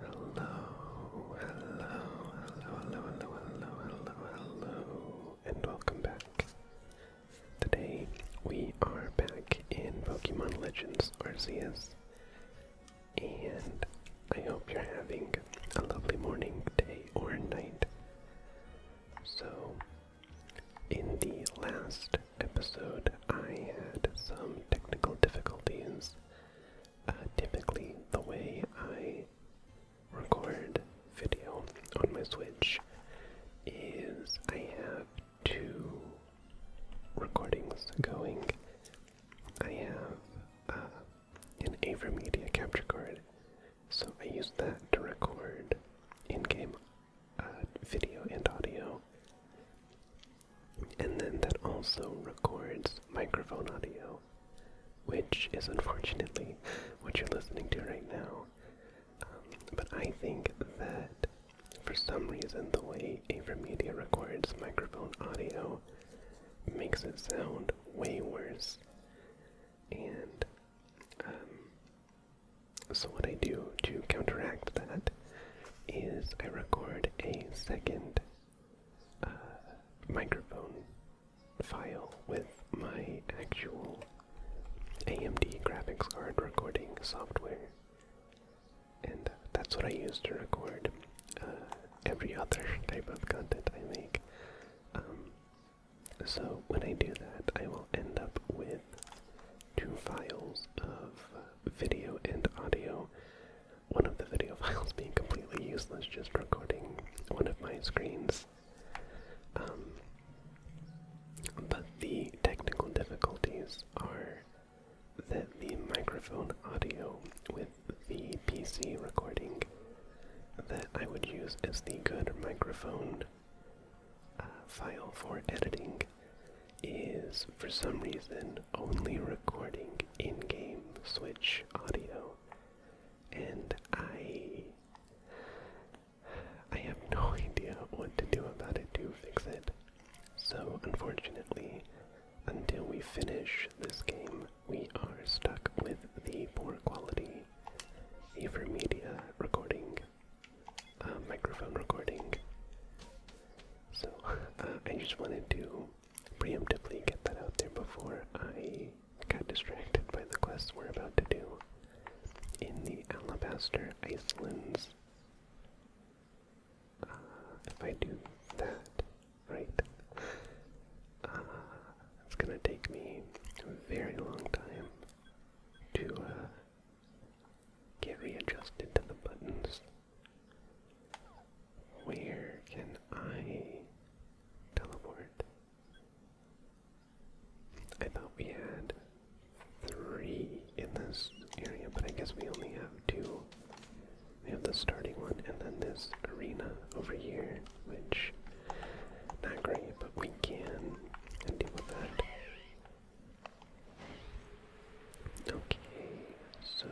Hello, hello, hello, hello, hello, hello, hello, hello, and welcome back. Today we are back in Pokemon Legends Arceus. And I hope you're having a lovely morning, day, or night. So, in the last episode, I had some technical difficulties. Uh, typically, the way I record video on my Switch is I have two recordings going, I have uh, an AverMedia capture card, so I use that to record in-game uh, video and audio, and then that also records microphone audio, which is unfortunately what you're listening to right now. Um, but I think that for some reason, the way AverMedia records microphone audio makes it sound way worse. And um, so, what I do to counteract that is I record a second uh, microphone file with my actual AMD graphics card recording software and that's what I use to record uh, every other type of content I make. Um, so when I do that, I will end up with two files of video and audio. One of the video files being completely useless, just recording one of my screens. Um, but the technical difficulties are that the microphone audio with the PC recording that I would use as the good microphone uh, file for editing is for some reason only recording in-game Switch audio, and I I have no idea what to do about it to fix it. So, unfortunately, until we finish this game, we are stuck with the poor quality Evermedia recording, uh, microphone recording. So, uh, I just wanted to preemptively get that out there before I got distracted by the quest we're about to do in the Alabaster Icelands if I do that, right, uh, it's gonna take me a very long time to uh, get readjusted to the buttons. Where can I teleport? I thought we had three in this area, but I guess we only have two. We have the starting one and then this arena over here, which not great, but we can deal with that. Okay, so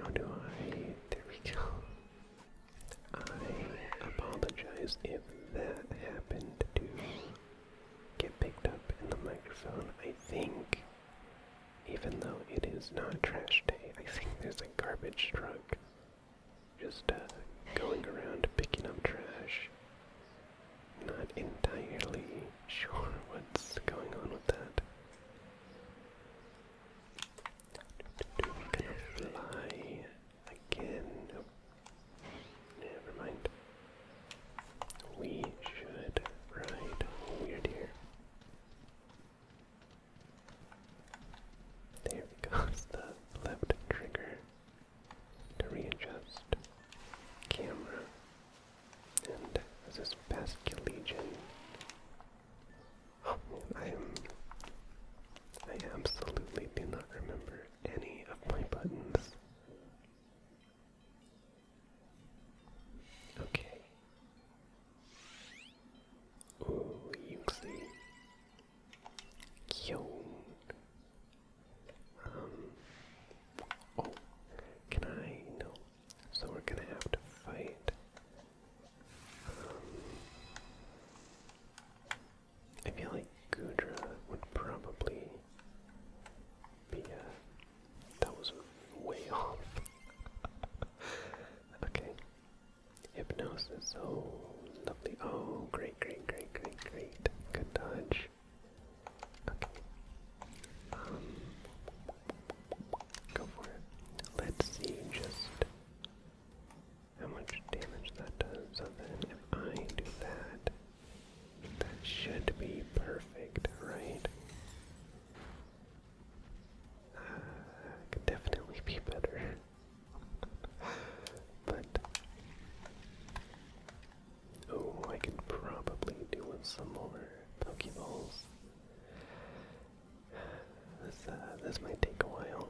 how do I there we go. I apologize if that happened to get picked up in the microphone. I think, even though it is not trash day, I think there's a garbage truck just uh, going around picking up trash. Not entirely sure what's going on with that. fly again. Never mind. We should ride here. There we go, the left trigger to readjust camera. And this is Legion. Oh I am I absolutely do not remember any of my buttons. Okay. Oh, Yuxi. Kyone. Um. Oh, can I? No. So we're gonna have to fight. Um, I feel like Gudra would probably yeah, that was way off. okay. Hypnosis, oh, lovely. Oh, great, great, great, great, great. Good dodge. Okay. Um, go for it. Let's see just how much damage that does. So then if I do that, that should be perfect, right? Uh, could definitely be better. but oh, I can probably do with some more Pokeballs. This uh, this might take a while.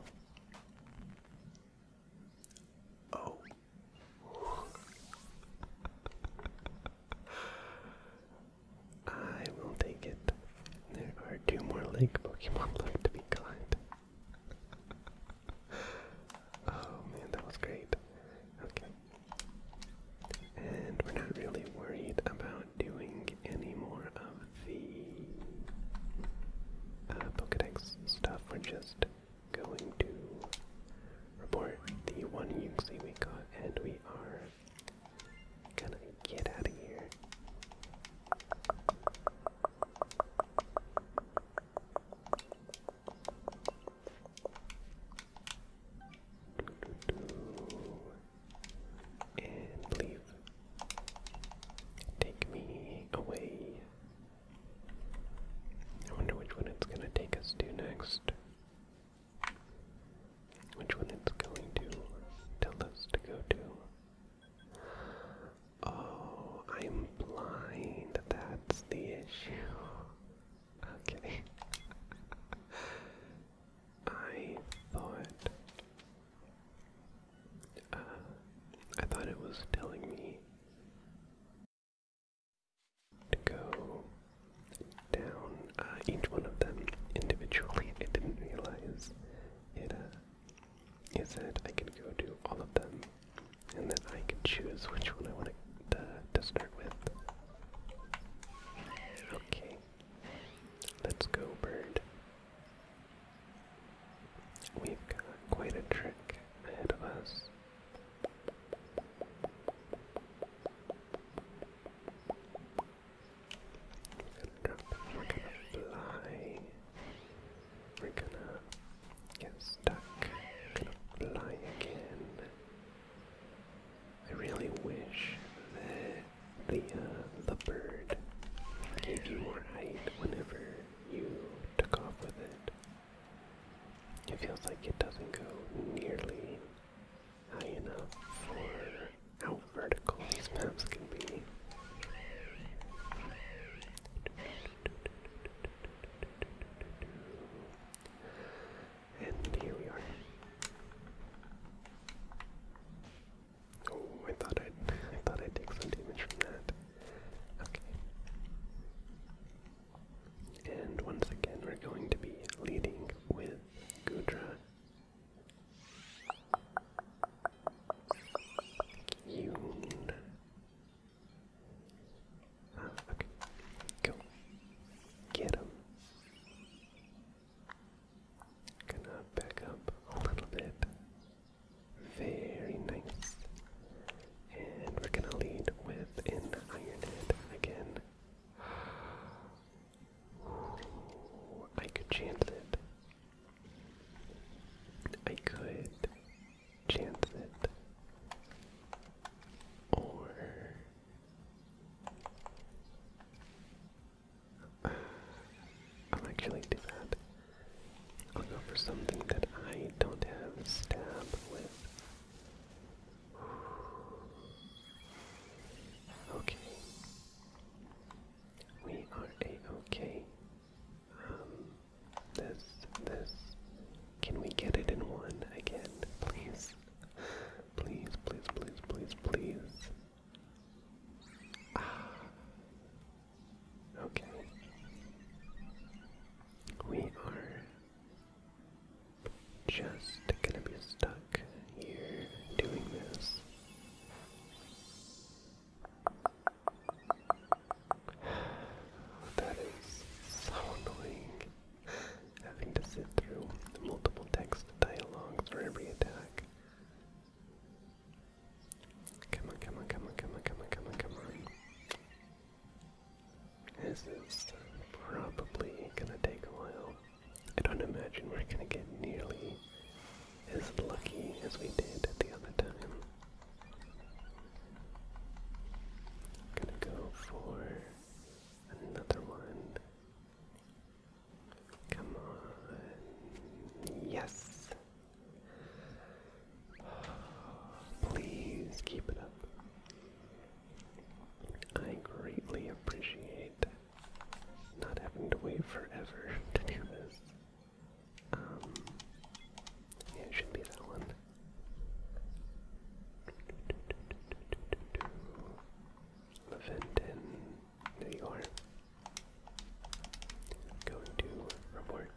Oh, I will take it. There are two more lake Pokemon left to be climbed. oh man, that was great. Okay. And we're not really worried about doing any more of the uh, Pokedex stuff. We're just going to report the one Yuxi we got, and we are gonna get out of here. And leave. Take me away. I wonder which one it's gonna take us to next. Which one it's going to tell us to go to? Oh, I'm blind. That's the issue. Okay. I thought. Uh, I thought it was telling me to go down uh, each one of them individually. I didn't realize it. Uh, Is that I can go do all of them and then I can choose which one I want to, uh, to start with. Okay, let's go, bird. We've got quite a trick ahead of us. We're gonna fly. We're gonna get stuck. we fly again. I really wish that the the bird gave you more height whenever you took off with it. It feels like it doesn't go nearly high enough for how vertical these maps can be. And here we are. Oh, I thought I'd I thought I'd take some damage from that. Okay. And once again, we're going to be leading with Gudra. Yoon. Ah, okay. Go. Get him. Gonna back up a little bit. Very nice. And we're gonna lead with an Iron again. I could chance it. I could chance it. Or I'll actually do that. I'll go for something that I don't have stab with. Okay. We are a-okay. Um, this, this. Can we get it in one again, please? Please, please, please, please, please. Ah. Okay. We are just gonna be stuck here doing this. That is so annoying. Having to sit through multiple text dialogues for every attack. Come on, come on, come on, come on, come on, come on, come on. This is probably gonna take a while. I don't imagine we're gonna get nearly as lucky as we did at the other time. gonna go for another one. Come on. Yes! Please keep it up. I greatly appreciate not having to wait forever to do this. Um, yeah, should be that one. Leventon, there you are. Going to report.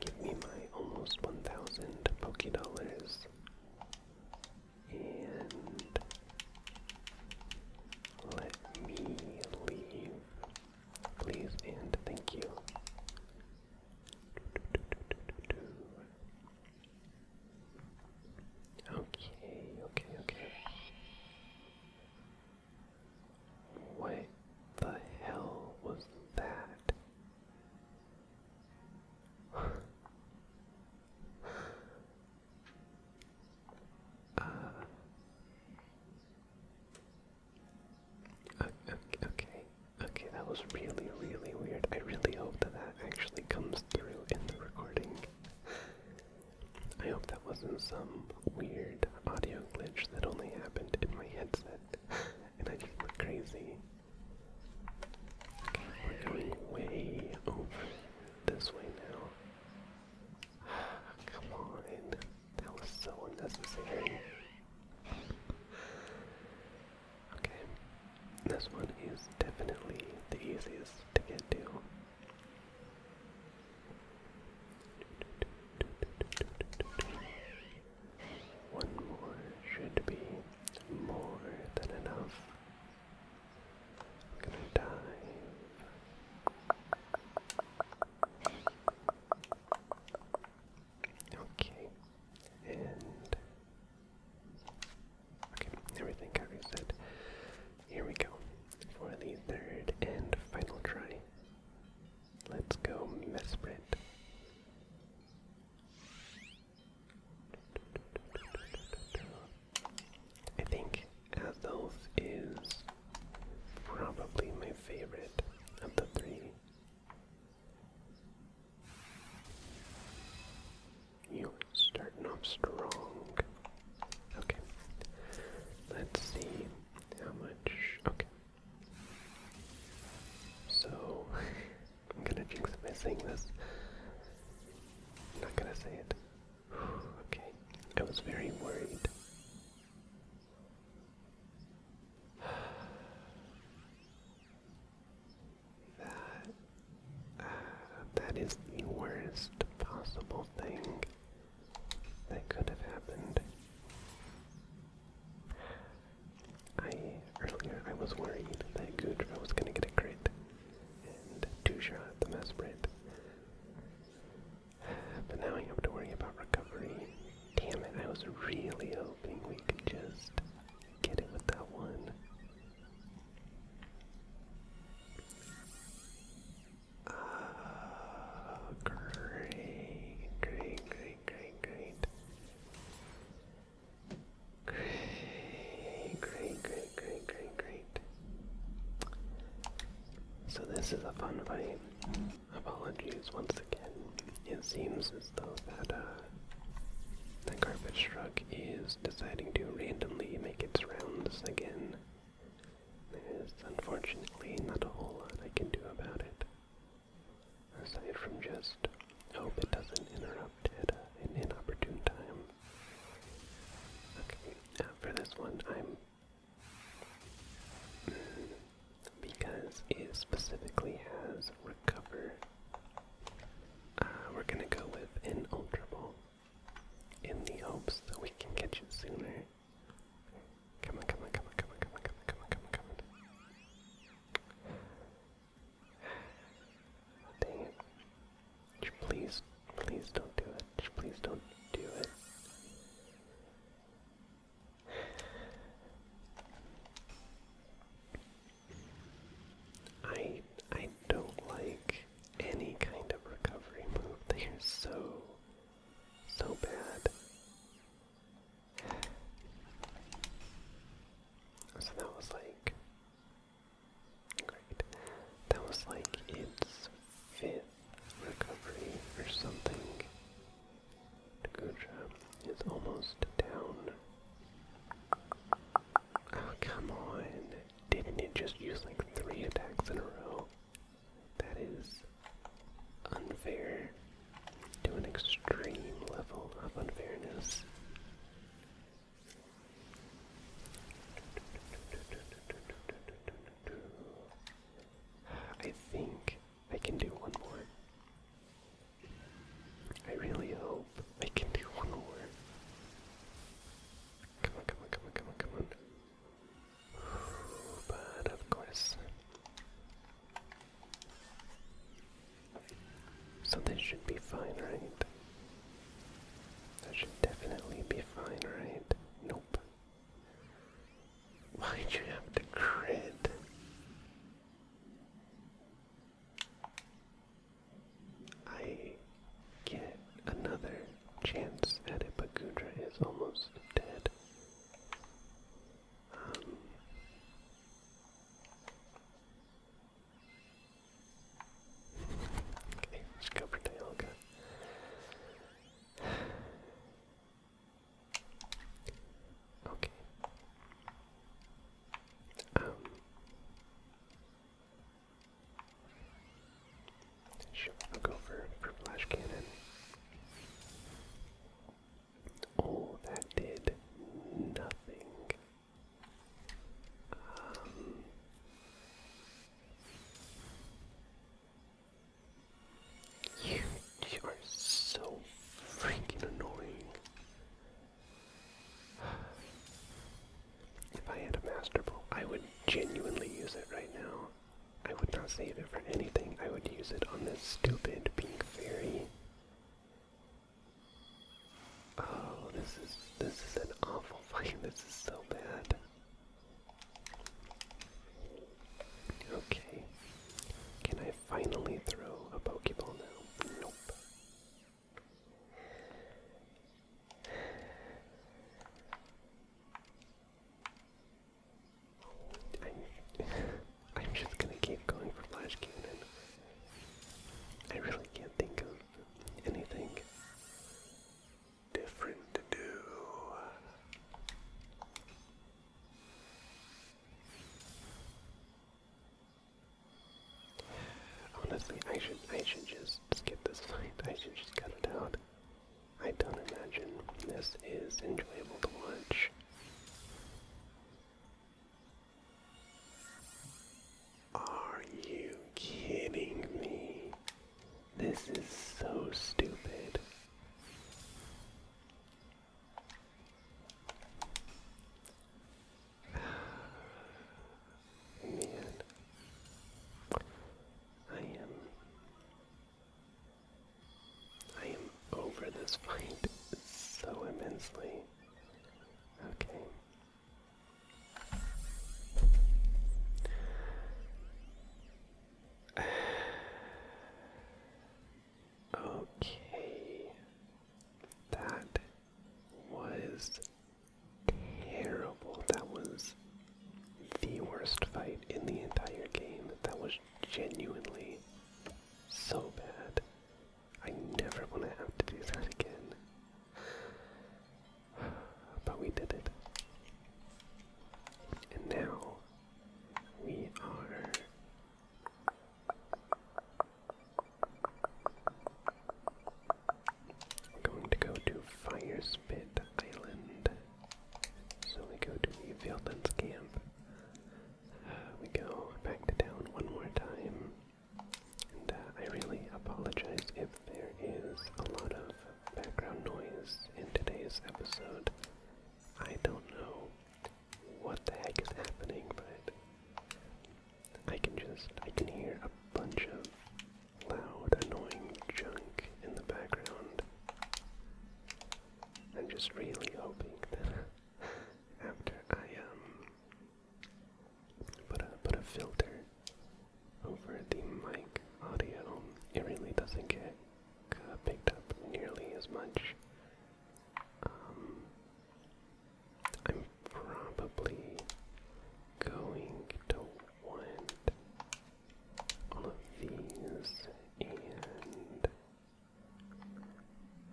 Give me my almost 1,000 Poké Dollars. And let me leave. Please and thank you. Okay, okay, okay. What the hell was that? Uh, okay, okay, that was really, really weird. I really hope that that actually comes through in the recording. I hope that wasn't some weird audio glitch that only happened in my headset and I just look crazy. We're going way over this way now. Come on, that was so unnecessary. Okay, this one is definitely the easiest to get to. One more should be more than enough. gonna dive. Okay, and okay, everything got Here we go for the third and final try. Let's go, Mesprit. I think Athos is probably my favorite of the three. You're starting off strong. Okay. Let's see how much. Okay. So, I'm gonna jinx myself by saying this. i not gonna say it. okay, I was very worried. That, uh, that is the worst possible thing that could have happened. I earlier I was worried that Gudra was gonna get a crit and two shot the Mesprit. But now I have to worry about recovery. Damn it, I was really hoping we could just get it with that one. Oh, great, great, great, great, great. Great, great, great, great, great, great. So this is a fun fight. Apologies once again. It seems as though that uh, the garbage truck is deciding to randomly make its rounds again. There's unfortunately not a whole lot I can do about it aside from just hope it doesn't interrupt at uh, an inopportune time. Okay, for this one, I'm. Mm, because it specifically has recover, uh, we're gonna go with an in the hopes that we can catch it sooner. come on, come on, come on, come on, come on, come on, come on, come on. Dang it. please, please don't do it. please don't do it. I I don't like any kind of recovery move. They are so so bad. So that was like Great. That was like its fifth recovery or something. Nagutra is almost down. Oh, come on. Didn't it just use like three attacks in a row? That is unfair to an extreme level of unfairness. I think I can do one more. I really hope I can do one more. Come on, come on, come on, come on, come on. But of course. So this should be fine, right? That should definitely be fine, right? Nope. Why'd you have to crit? I get another chance at it, but Gudra is almost dead. Um, Okay, let's go for Dialga. Okay. Um. Sure, I'll go for, for Flash Cannon. Oh, that did nothing you, you are so freaking annoying. If I had a master I would genuinely use it right now. I would not save it for anything. I would use it on this stupid pink fairy. Oh, this is this is an awful fight. This is so bad. Okay. Can I finally throw a Pokeball now? Nope. I'm, just gonna keep going for Flash Cannon. I really can't think of anything different to do. Honestly, I should I should just skip this fight. I should just cut it out. I don't imagine this is enjoyable to watch. Are you kidding me? This is so stupid. Man, I am. I am over this fight so immensely. Okay. Okay. That was terrible. That was the worst fight in the entire game. That was genuinely so bad. I never want to have to do that again. But we did it. And now we are. going to go to Fire Spit Island. So we go to the Vilden's camp. Uh, we go back to town one more time. Uh, I really apologize if there is a lot of background noise in today's episode. I don't know what the heck is happening, but I can just, I can hear a bunch of loud, annoying junk in the background. I'm just really hoping that after I, um, Put a, put a filter over the mic audio. It really doesn't get uh, picked up nearly as much. Um, I'm probably going to want all of these and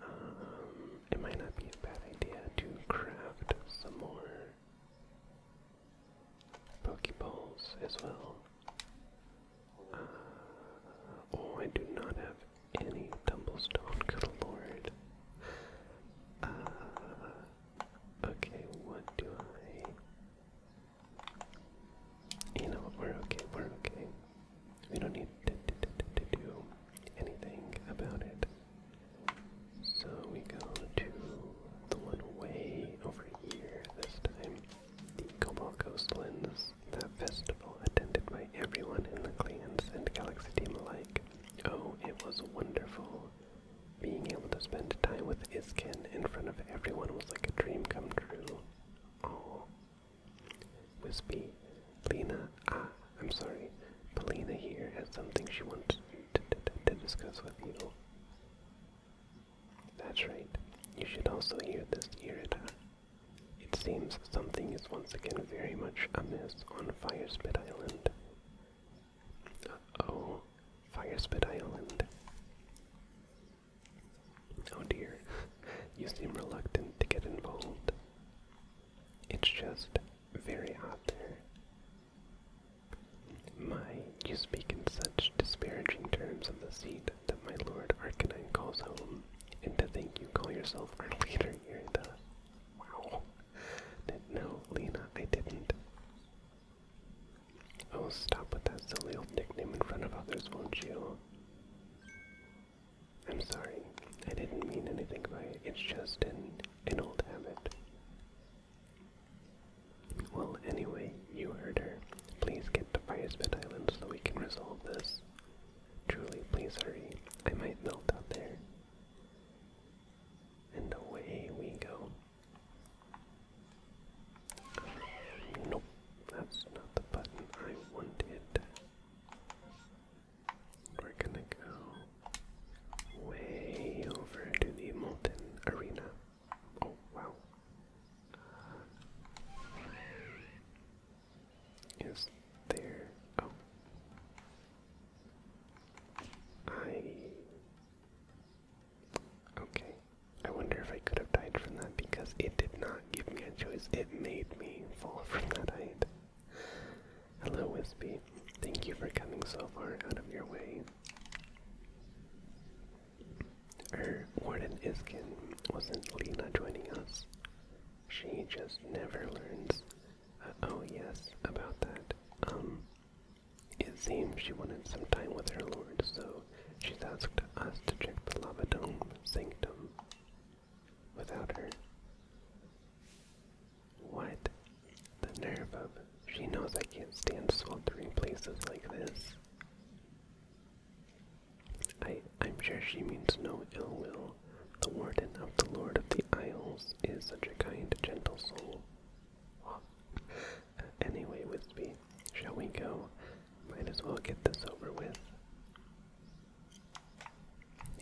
um, it might not be a bad idea to craft some more Pokeballs as well. Uh, oh, I do not have any Tumblestone, good lord. Uh, okay, what do I. You know we're okay, we're okay. We don't need to do anything about it. So we go to the one way over here this time. The Cobalt Coastlands, that festival attended by everyone in the clans and Galaxy team alike. Oh, it was wonderful. Being able to spend time with Iskin in front of everyone was like a dream come true. Oh. Wispy, Lena, ah, I'm sorry, Polina here has something she wants to, discuss with you. That's right, you should also hear this, Irida. Uh, it seems something is once again very much amiss on Firespit Island. oh Firespit Island. Oh dear, you seem reluctant to get involved. It's just very hot My, you speak in such disparaging terms of the seat that my lord Arcanine calls home, and to think you call yourself our leader here does. Wow. No, Lena, I didn't. Oh, stop with that silly old nickname in front of others, won't you? I'm sorry. I didn't mean anything by it. It's just an, an old habit. Well, anyway, you heard her. Please get to Firesmith Island so we can resolve this. Truly, please hurry. I might melt out there. And away we go. Nope, that's not the button I wanted. We're gonna go way over to the Molten Arena. Oh, wow. Is there. Oh. I. Okay. I wonder if I could have died from that because it did not give me a choice. It made me fall from that height. Hello, Wispy. Thank you for coming so far out of your way. Er, Warden Iskin wasn't Lena joining us. She just never learns. Uh, oh, yes, about that. Um, it seems she wanted some time with her lord, so she's asked us to check the Lava Dome Sanctum without her. What? The nerve of. She knows I can't stand sweltering places like this. I, I'm sure she means no ill will. The warden of the Lord of the Isles is such a kind, gentle soul. anyway, Wispy, shall we go? Might as well get this over with.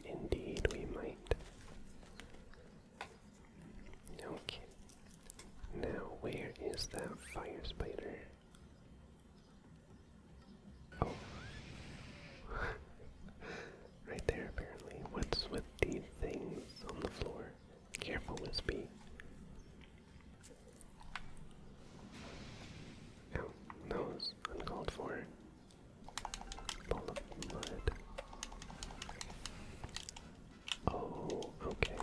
Indeed, we might. Okay. Now, where is that fire spider? Oh. right there, apparently. What's with these things on the floor? Careful, Wispy. Ow, that was uncalled for. Oh, okay.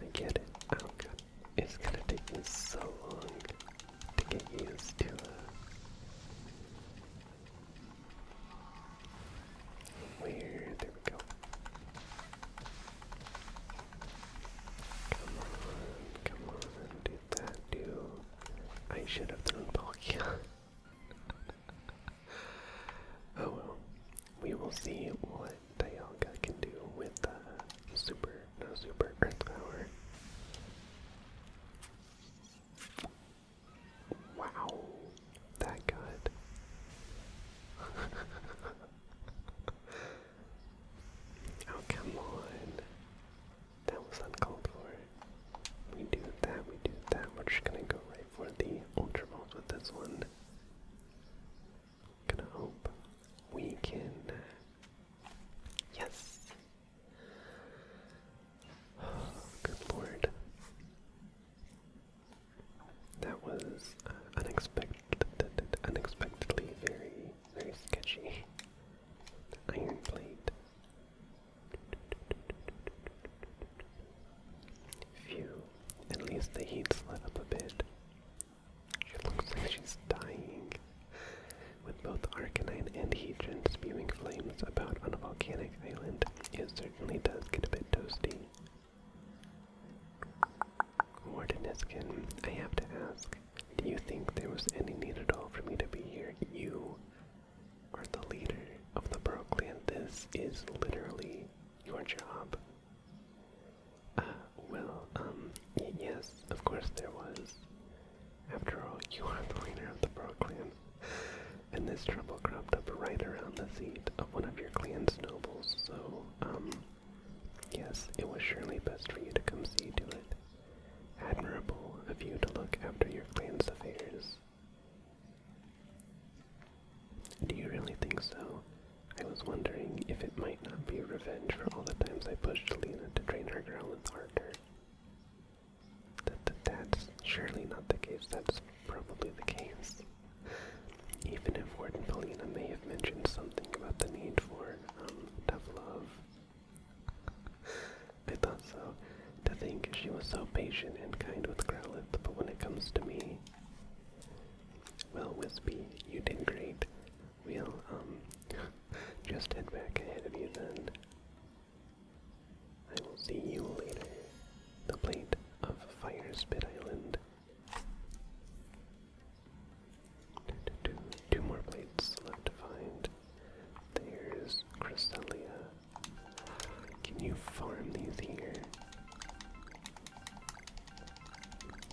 I get it. Oh god. It's gonna take me so long to get used to where there we go. Come on, come on, do that do I should have thrown Palkia. oh well, we will see what Dialga can do with the super, no super earth power. Wow, that got. oh, come on. That was uncalled for. We do that, we do that. We're just gonna go right for the Ultra with this one. Gonna hope we can. Yes! good lord. That was uh, unexpectedly very, very sketchy. Iron plate. Phew, at least the heat's let up a bit. She looks like she's dying. With both Arcanine and Heatran spewing flames about on a volcanic island, it certainly does get a bit toasty. Wardeniskin, I have to ask, do you think there was any need at all for me to be here? You are the leader of the Broclan. This is literally your job. Uh, well, um, yes, of course there was. After all, you are the leader of the Bro and this trouble cropped up right around the seat of one of your clan's nobles, so, um, yes, it was surely best for you to come see to it. Admirable of you to look after your clan's affairs, do you really think so? I was wondering if it might not be revenge for all the times I pushed Alina to train her girl with Arthur. That, that's surely not the case. That's probably the case. Even if Ward and Paulina may have mentioned something about the need for um, tough love, I thought so. To think she was so patient and kind with Growlithe, but when it comes to me. Well, Wispy, you did great. We'll, um, just head back ahead of you then. I will see you later. The blade of Fire Spit Island. Two, more plates left to find. There's Cresselia can you farm these here?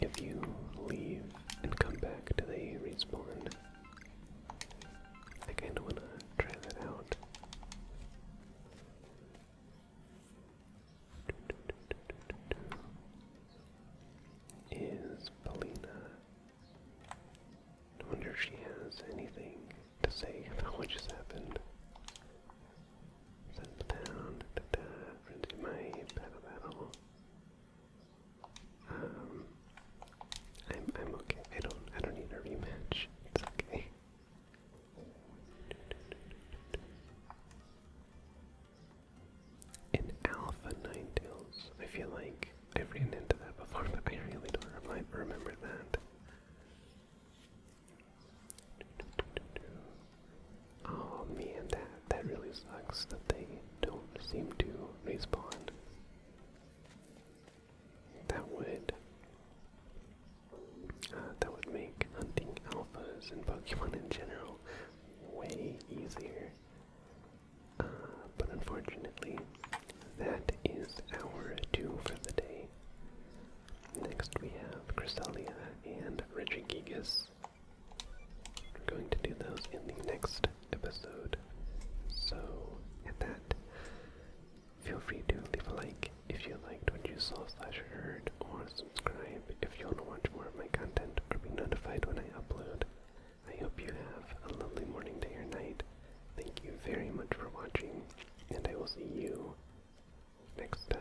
If you leave and come back, do they respawn? I kinda wanna try that out. Is Polina? I wonder if she has anything to save what just happened. Send down, da da, frenzy battle Um, I'm I'm okay. I don't I don't need a rematch. It's okay. In Alpha Ninetales, I feel like I've ran into that before, but I really don't remember that. Oh man, that that really sucks that they don't seem to respawn. That would uh, that would make hunting alphas and Pokemon in general way easier. Uh, but unfortunately, that is our two for the day. Next we have Cresselia and Regigigas. We're going to do those in the next episode. So, at that, feel free to leave a like if you liked what you saw slash heard, or subscribe if you want to watch more of my content or be notified when I upload. I hope you have a lovely morning, day, or night. Thank you very much for watching and I will see you next time.